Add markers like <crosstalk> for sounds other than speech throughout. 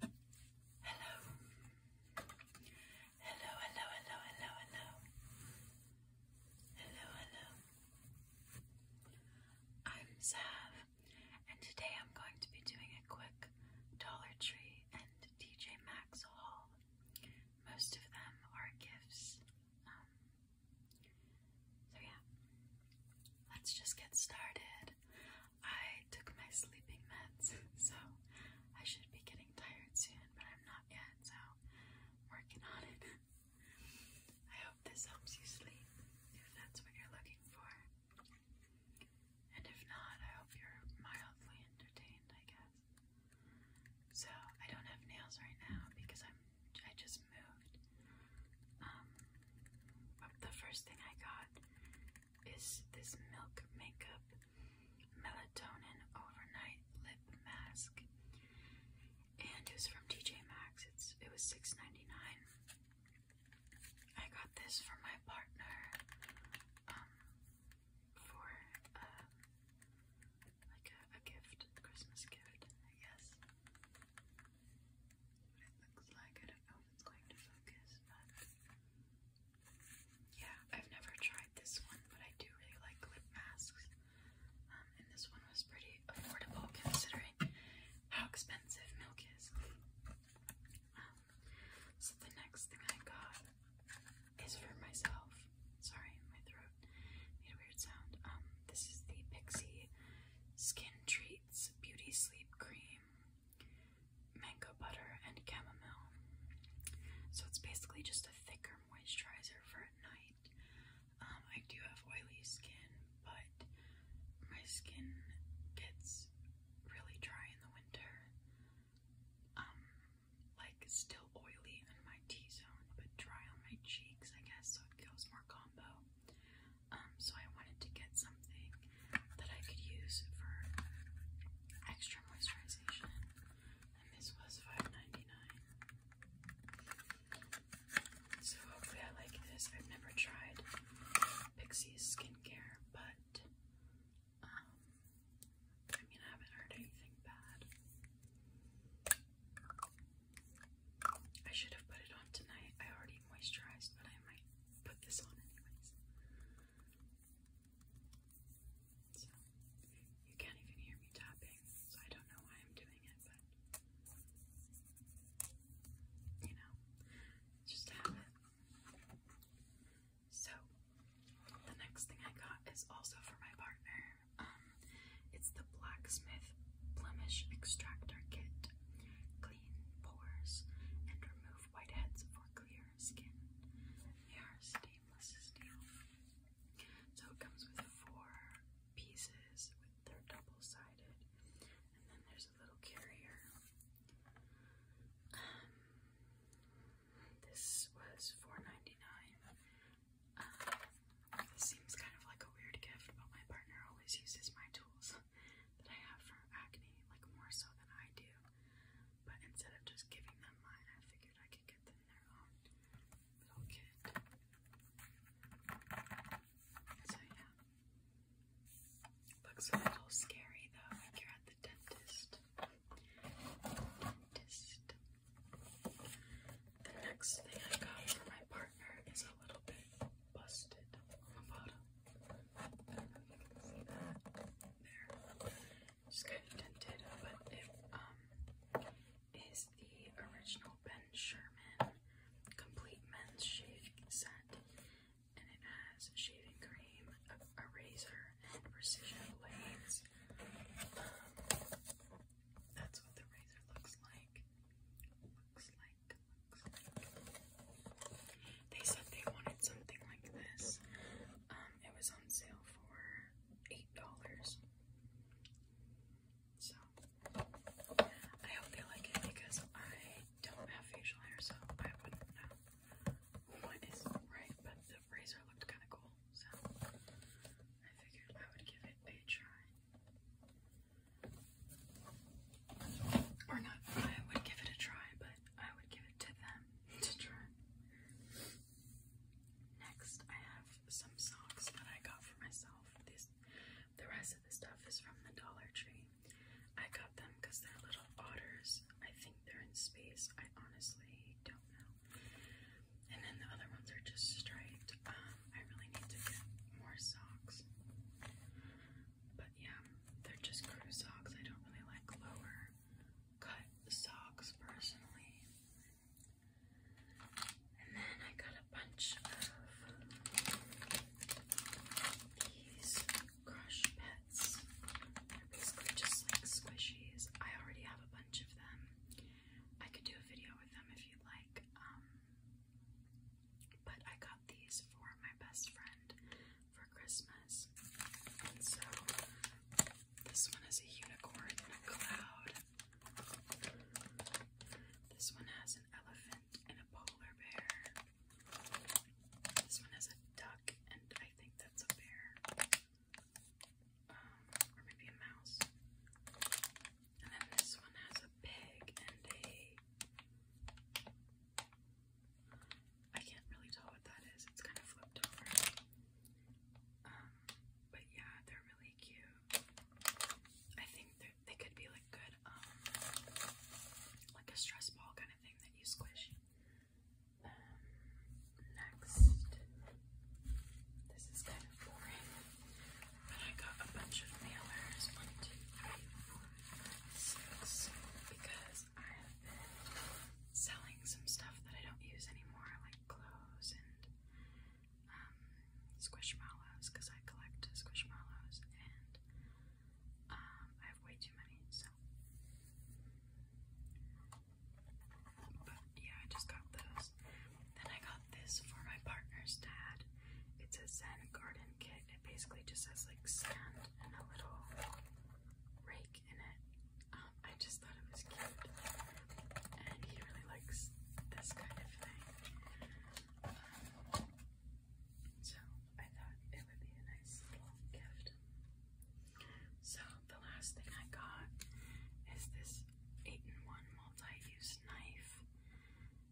Hello. Hello, hello, hello, hello, hello. Hello, I'm Sav, and today I'm going to be doing a quick Dollar Tree and DJ Maxx haul. Most of them are gifts. Um, so, yeah, let's just get started. I took my sleeping meds, <laughs> so I should be getting tired soon, but I'm not yet, so working on it. <laughs> I hope this helps you sleep, if that's what you're looking for. And if not, I hope you're mildly entertained, I guess. So, I don't have nails right now because I'm I just moved. Um, the first thing I got is this Milk Makeup Melatonin Overnight Lip Mask, and it was from TJ Maxx. It's it was six ninety nine. I got this for my partner um, for uh, like a, a gift, a Christmas gift, I guess it looks like. I don't know if it's going to focus, but yeah, I've never tried this one, but I do really like lip masks. Um, and this one was pretty affordable considering how expensive milk is. Um, so the next thing I got is for myself. Sorry, my throat made a weird sound. Um, this is the Pixie Skin Treat. Beauty Sleep Cream, Mango Butter, and Chamomile. So it's basically just a thicker moisturizer for at night. Um, I do have oily skin, but my skin gets really dry in the winter. Um, like still oily in my T-zone, but dry on my cheeks, I guess, so it goes more combo. Um, so I wanted to get something that I could use for extra moisturization, and this was 5 So hopefully I like this. I've never tried Pixie's skincare, but um, I mean I haven't heard anything bad. I should have put it on tonight. I already moisturized, but I might put this on anyways. you can't even hear me tapping, so I don't know why I'm doing it, but you know, just have it. So, the next thing I got is also for my partner. Um, it's the Blacksmith Blemish Extractor Kit. Clean pores and remove whiteheads for clear skin. They are stainless steel. So it comes with four pieces. they're double sided, and then there's a little carrier. Um, this was 4 um, this seems kind of like a weird gift, but my partner always uses my tools that I have for acne, like more so than I do. But instead of just giving them mine, I figured I could get them their own little kit. So yeah. Looks a little scary though, you're at the Dentist. The next thing I got for my partner is a little bit busted on the bottom. see that there. It's kind of tinted, but it um, the original Ben Sherman complete men's shaving set, and it has shaving cream, a, razor, and precision blades. Um, that's what the razor looks like. Looks like, They said they wanted something like this. Um, it was on sale for eight dollars. So I hope they like it because I don't have facial hair, so I wouldn't know what is right. But the razor looked kind of cool, I figured I would give it a try. Or not, I would give it a try, but I would give it to them to try. Next, I have some socks that I got for myself. These, the rest of the stuff is from the Dollar Tree. I got them because they're little otters. I think they're in space. I honestly don't know and then the other ones are just striped. Um, I really need to get more socks. But yeah, they're just crew socks. I don't really like lower cut socks personally. And then I got a bunch of these crush pens. They're basically just like squishies. I already have a bunch of them. I could do a video with them if you'd like. Um, but I got these for my best friend for Christmas. And so this one is a unicorn and a cloud. This one has an elephant and a polar bear. This one has a duck and I think that's a bear. Um, or maybe a mouse. And then this one has a pig and a. I can't really tell what that is. It's kind of flipped over. Um, but yeah, they're really cute. I think they could be like good, um, like a stress ball kind of thing that you squish. Um, next, this is kind of boring, but I got a bunch of mailers, one, two, three, four, five, six, because I have been selling some stuff that I don't use anymore, like clothes and um, squishmallows, because I collect squishmallows, and um, I have way too many, so. But yeah, I just got those. Then I got this for my partner's dad. It's a Zen garden kit. It basically just has like sand and a little rake in it. Um, I just thought it was cute. And he really likes this kind of thing. Um, so I thought it would be a nice little gift. So the last thing I got is this 8-in-1 multi-use knife.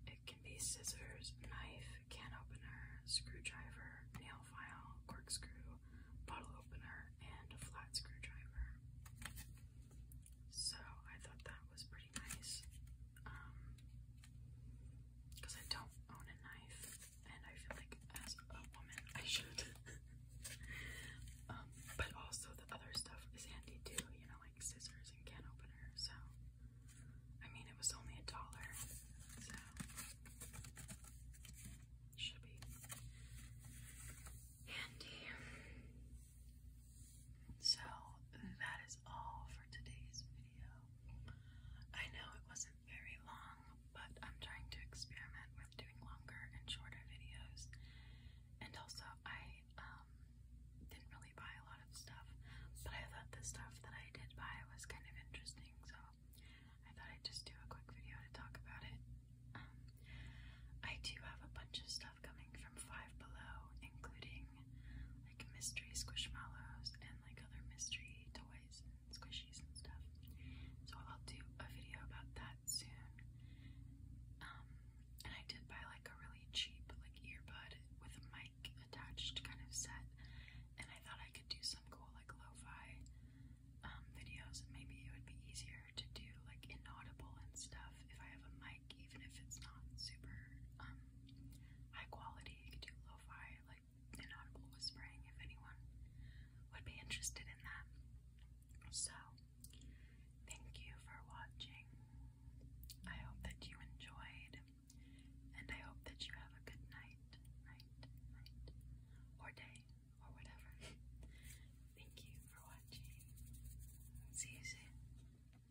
It can be scissors, knife, can opener, screwdriver, nail file, corkscrew, bottle opener, and a flat screwdriver. So I thought that was pretty nice. because um, I don't own a knife and I feel like as a woman I should. um, but also the other stuff is handy too, you know, like scissors and can opener. So I mean, it was only a dollar, so should be handy. So that is all for today's video. I know it wasn't very long, but I'm trying to experiment with doing longer and shorter videos. And also, I um, didn't really buy a lot of stuff, but I thought the stuff that I did buy was kind of interesting, so I thought I'd just do a quick video to talk about it. Um, I do have a bunch of stuff coming from Five Below, including collecting like mystery squishmallows and like other mystery toys and squishies and stuff. So I'll do a video about that soon. Um, and I did buy like a really cheap like earbud with a mic attached kind of set, and I thought I could do some cool like lo-fi um, videos, and maybe it would be easier to do like inaudible and stuff if I have a mic even if it's not super um, high quality, you could do lo-fi, like inaudible whispering if anyone would be interested in that. So thank you for watching. I hope that you enjoyed and I hope that you have a good night, night, night, or day, or whatever. <laughs> Thank you for watching. See you soon.